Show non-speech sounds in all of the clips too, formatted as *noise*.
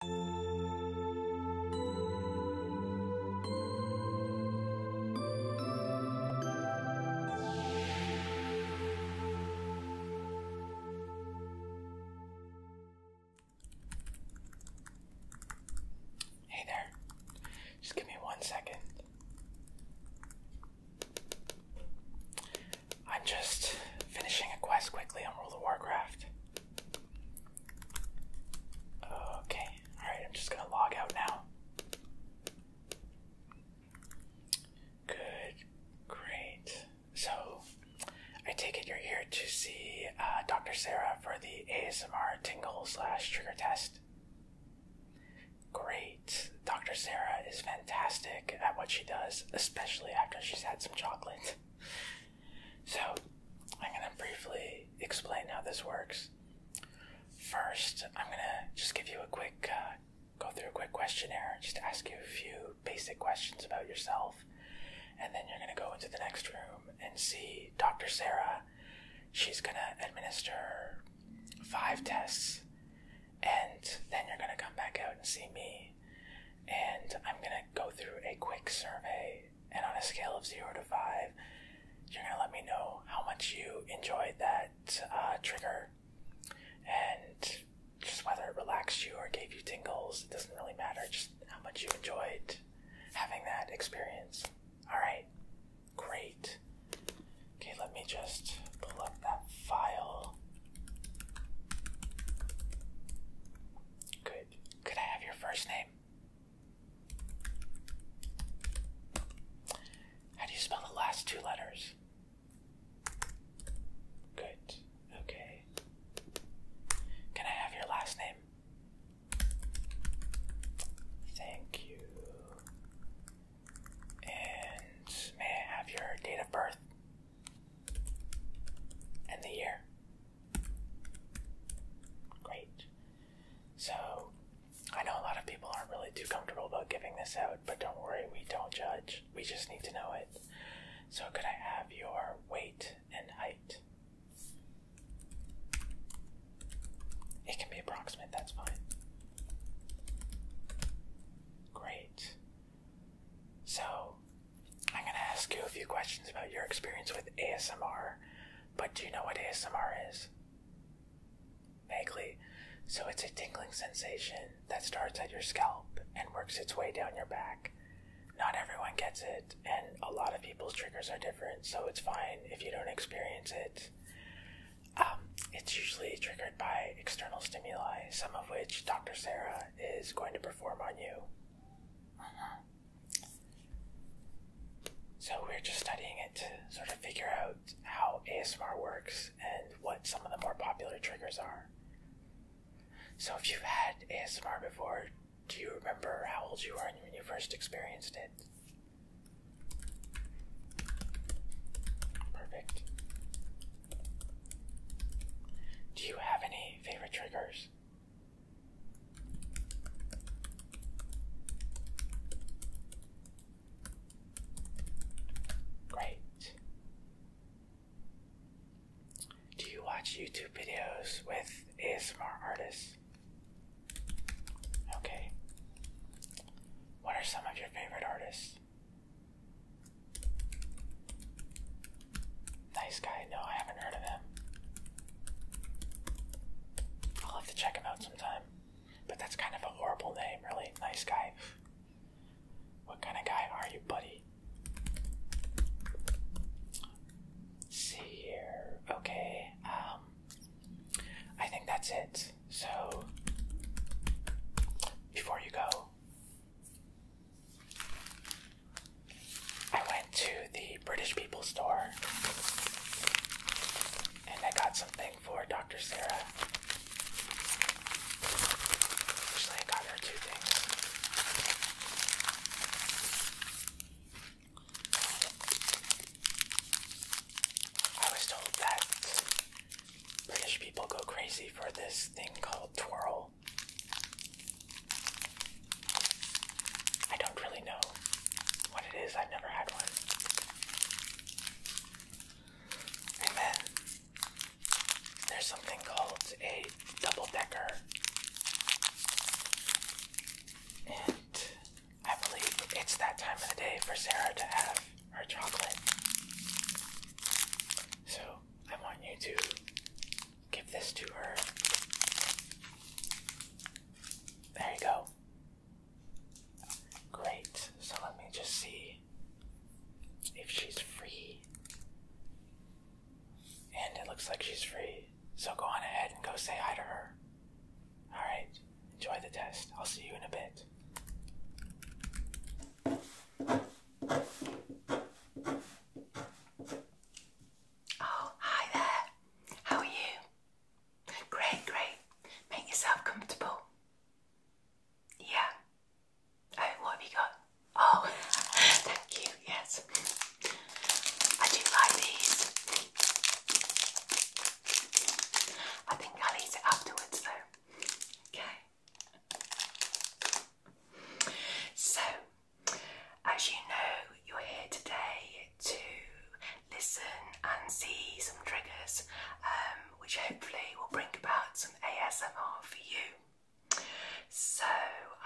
Hey there, just give me one second. I'm just finishing a quest quickly on World of Warcraft. Okay, alright, I'm just gonna log out now. Good, great. So, I take it you're here to see uh, Dr. Sarah for the ASMR tingle slash trigger test. Great. Dr. Sarah is fantastic at what she does, especially after she's had some chocolate. So, I'm going to briefly explain how this works. First, I'm going to just give you a quick, uh, go through a quick questionnaire, just ask you a few basic questions about yourself, and then you're going to go into the next room and see Dr. Sarah. She's going to administer five tests, and then you're going to come back out and see me, and I'm gonna go through a quick survey. And on a scale of zero to five, you're gonna let me know how much you enjoyed that uh, trigger, and just whether it relaxed you or gave you tingles. It doesn't really matter. Just how much you enjoyed having that experience. All right, great. Okay, let me just pull up that file. Good. Could I have your first name? How do you spell the last two letters? Good. Okay. Can I have your last name? Thank you. And may I have your date of birth? And the year? Great. So, I know a lot of people aren't really too comfortable about giving this out, but don't worry, we don't judge. We just need to know it. So, could I have your weight and height? It can be approximate, that's fine. Great. So, I'm going to ask you a few questions about your experience with ASMR, but do you know what ASMR is? Vaguely. So, it's a tingling sensation that starts at your scalp and works its way down your back. Not everyone gets it, and a lot of people's triggers are different, so it's fine if you don't experience it. Um, it's usually triggered by external stimuli, some of which Dr. Sarah is going to perform on you. So we're just studying it to sort of figure out how ASMR works and what some of the more popular triggers are. So if you've had ASMR before, do you remember how old you were when you first experienced it? Perfect. Do you have any favorite triggers? Great. Do you watch YouTube videos with ASMR artists? Okay. What are some of your favorite artists? Nice guy. No, I haven't heard of him. I'll have to check him out sometime. But that's kind of a horrible name, really. Nice guy. What kind of guy are you, buddy? see here. Okay. Um, I think that's it. So, before you go, I went to the British People store and I got something for Dr. Sarah. Actually, I got her two things. I was told that British people go crazy for this thing called twirl. I don't really know what it is, I've never had one. And there's something called a double decker. And I believe it's that time of the day for Sarah to have her chocolate. So I want you to give this to her. There you go. Great. So let me just see if she's free. And it looks like she's free. So go on ahead and go say hi to her. Alright, enjoy the test. I'll see you in a bit. Oh, hi there. How are you? Great, great. Make yourself comfortable. Yeah. Oh, what have you got? Oh, *laughs* thank you. Yes. I do like these. I think I'll eat it afterwards though. Okay. So, as you know, you're here today to listen and see some triggers, um, which hopefully will bring about some ASMR for you. So,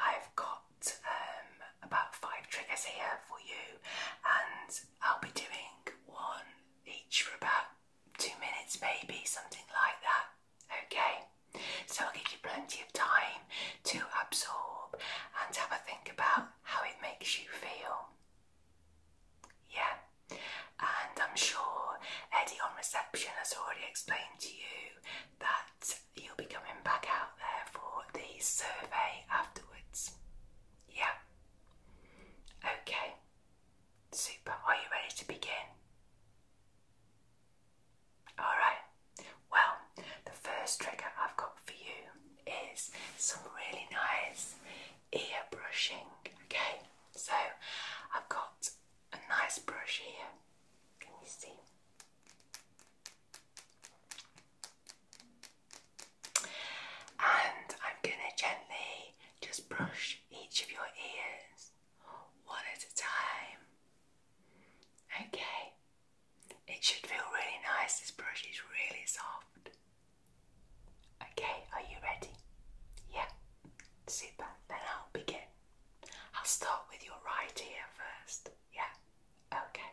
I've got um, about five triggers here for you, and I'll be doing one each for about two minutes, maybe something like that. Okay, so I'll give you plenty of time to absorb and have a think about how it makes you feel. Yeah, and I'm sure Eddie on reception has already explained to you that you'll be coming back out there for the survey afterwards. Yeah, okay, super. Are you ready to begin? Alright, well, the first trigger I've got for you is some really nice ear brushing. Okay, so I've got a nice brush here. Can you see? And I'm going to gently just brush each of your ears one at a time. Okay, it should feel really nice. This brush is really soft. Okay, are you ready? Yeah, super. Then I'll begin. I'll start with your right ear first. Yeah, okay. Okay,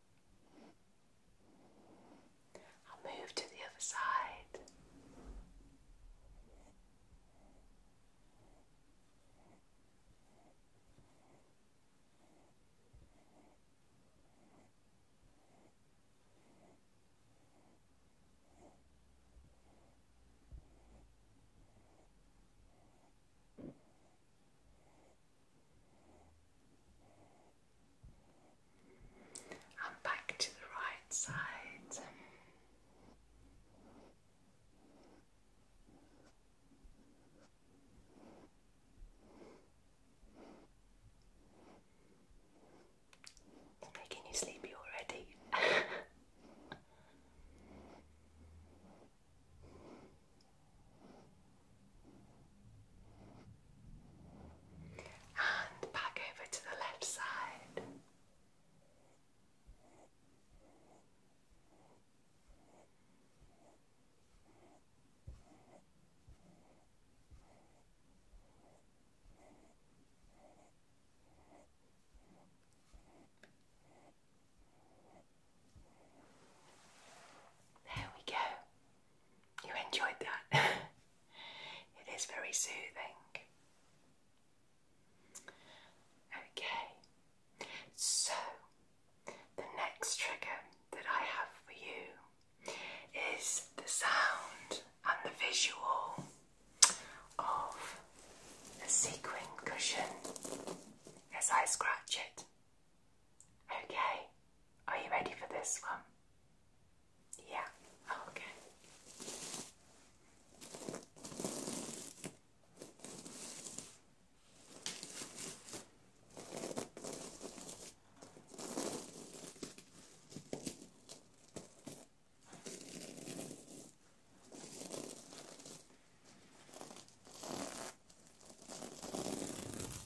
I'll move to the other side and back to the right side. making you sleepy already. *laughs* And back over to the left side. There we go you enjoyed that. *laughs* it is very soothing. Okay, so the next trigger that I have for you is the sound and the visual of a sequin cushion as I scratch it. Okay, are you ready for this one? Yeah, okay.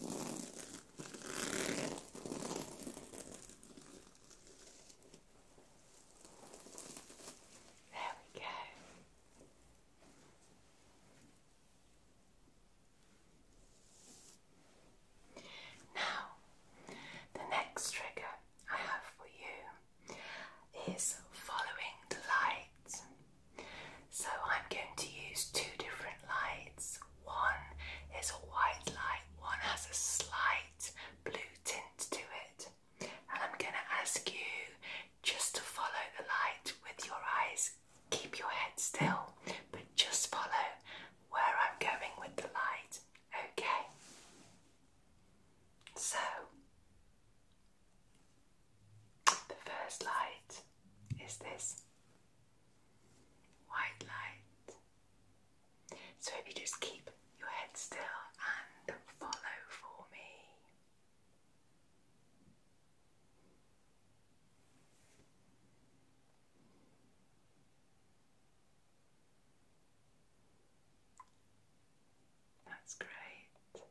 There we go. Now, the next trigger I have for you is following the light. So, I'm going to use two different lights one is a white light, one has a slight blue tint to it. And I'm going to ask you just to follow the light with your eyes. Keep your head still, but just follow where I'm going with the light. Okay? So, the first light is this white light. So if you just keep your head still and follow for me. That's great. Okay.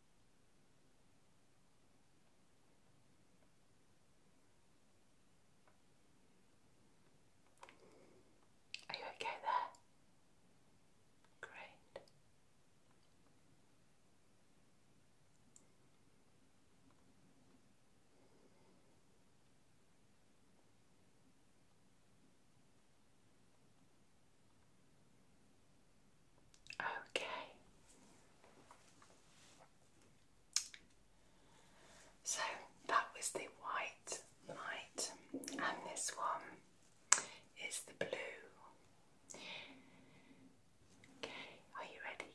Are you okay there? Great. Okay. So that was the white light, and this one is the blue. are you ready?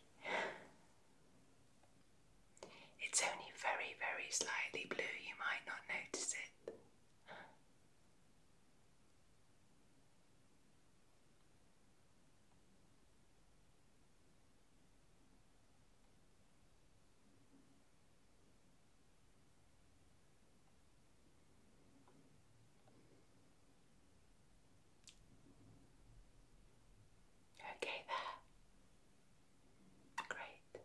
It's only very, very slightly blue, you might not notice it. Okay, there. Great.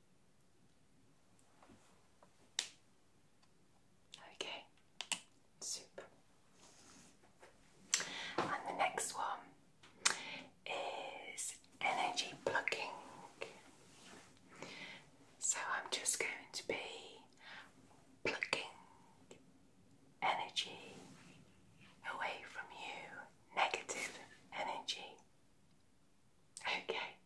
Okay, super. And the next one is energy plucking. So I'm just going to be plucking energy away from you, negative energy. Okay,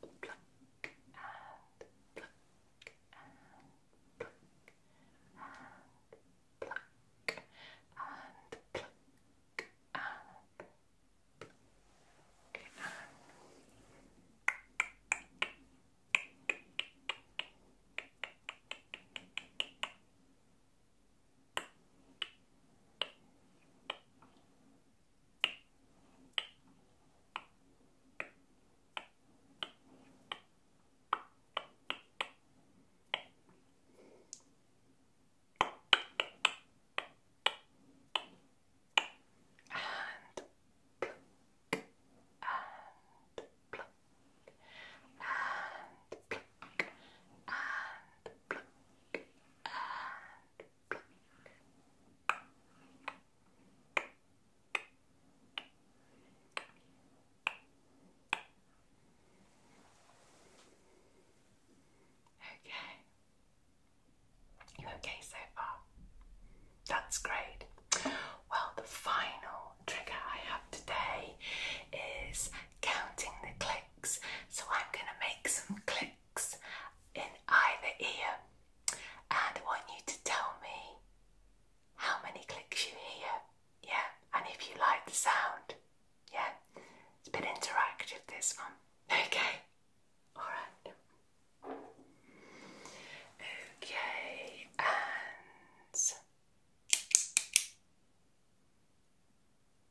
pluck and pluck and pluck and pluck and pluck and pluck and and pluck, and pluck, and pluck, and pluck, and Okay. You okay so far? That's great. Well, the final trigger I have today is counting the clicks. So I'm going to make some clicks in either ear, and I want you to tell me how many clicks you hear, yeah, and if you like the sound, yeah, it's a bit interactive this one, okay, alright, okay, and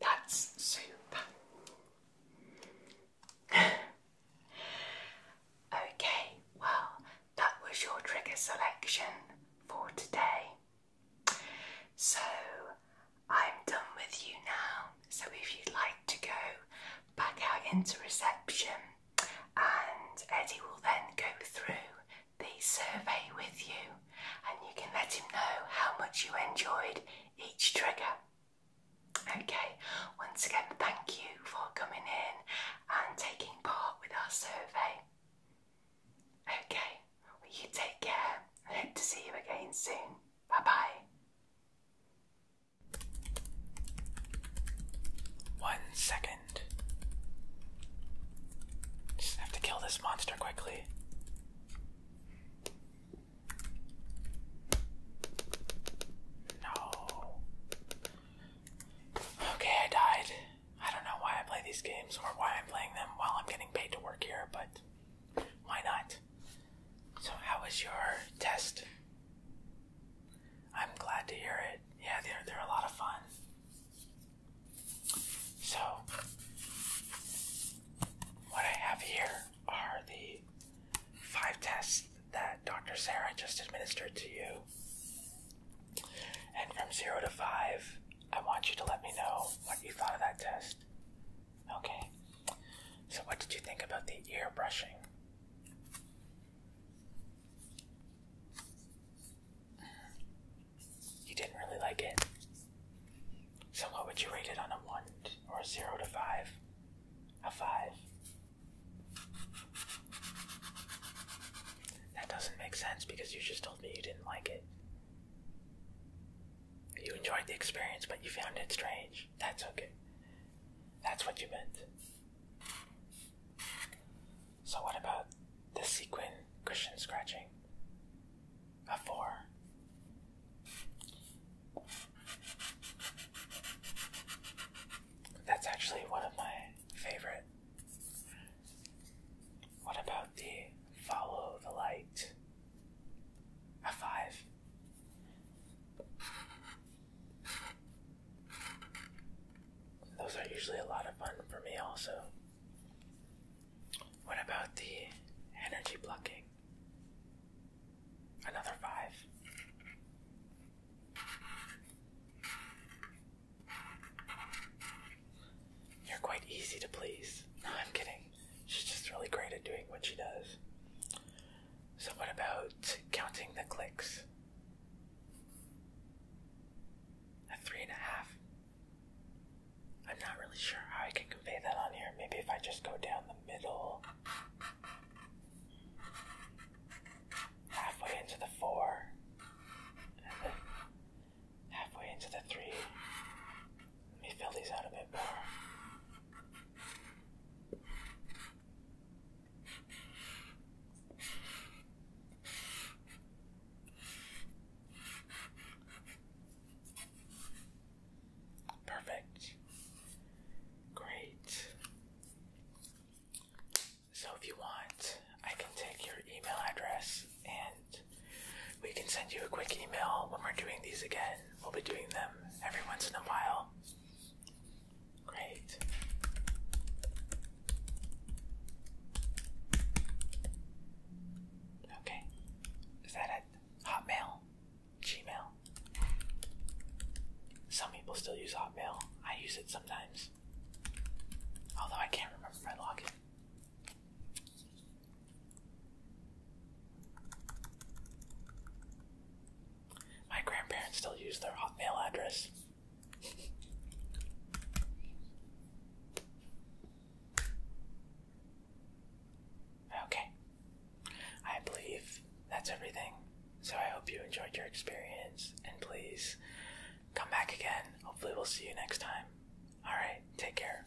That's super. *sighs* okay, well, that was your trigger selection for today. So I'm done with you now. So if you'd like to go back out into reception, and Eddie will then go through the survey with you, and you can let him know how much you enjoyed each trigger. Okay, once again, thank you for coming in and taking part with our survey. Okay, well, you take care and hope to see you again soon. Bye bye. One second. Just have to kill this monster quickly. No. Okay, I died. I don't know why I play these games or why I'm playing them while I'm getting paid to work here, but why not? So, how was your test? I'm glad to hear it. Yeah, they're, they're a lot of fun. So, what I have here are the five tests that Dr. Sarah just administered to you. And from zero to five, I want you to let me know what you thought of that test. Okay. So, what did you think about the ear brushing? You didn't really like it. So what would you rate it on a one or a zero to five? A five. That doesn't make sense because you just told me you didn't like it. You enjoyed the experience, but you found it strange. That's okay. That's what you meant. So, what about the sequin cushion scratching? A four. That's actually one of my favorite. What about the follow the light? A five. Those are usually a lot of fun for me, also. What about the energy blocking? Another five. You're quite easy to please. *laughs* No, I'm kidding. She's just really great at doing what she does. So, what about counting the clicks? A three and a half. I'm not really sure how I can convey that on here. Maybe if I just go down the middle, halfway into the four, and then halfway into the three. Let me fill these out a bit more. Perfect. Great. So, if you want, I can take your email address and we can send you a quick email when we're doing these again. We'll be doing them every once in a while. Great. Okay. Is that Hotmail, Gmail. Some people still use Hotmail. I use it sometimes. Although I can't remember my login. My grandparents still use their Hotmail address. Okay. I believe that's everything. So I hope you enjoyed your experience and please come back again. Hopefully, we'll see you next time. Alright, take care.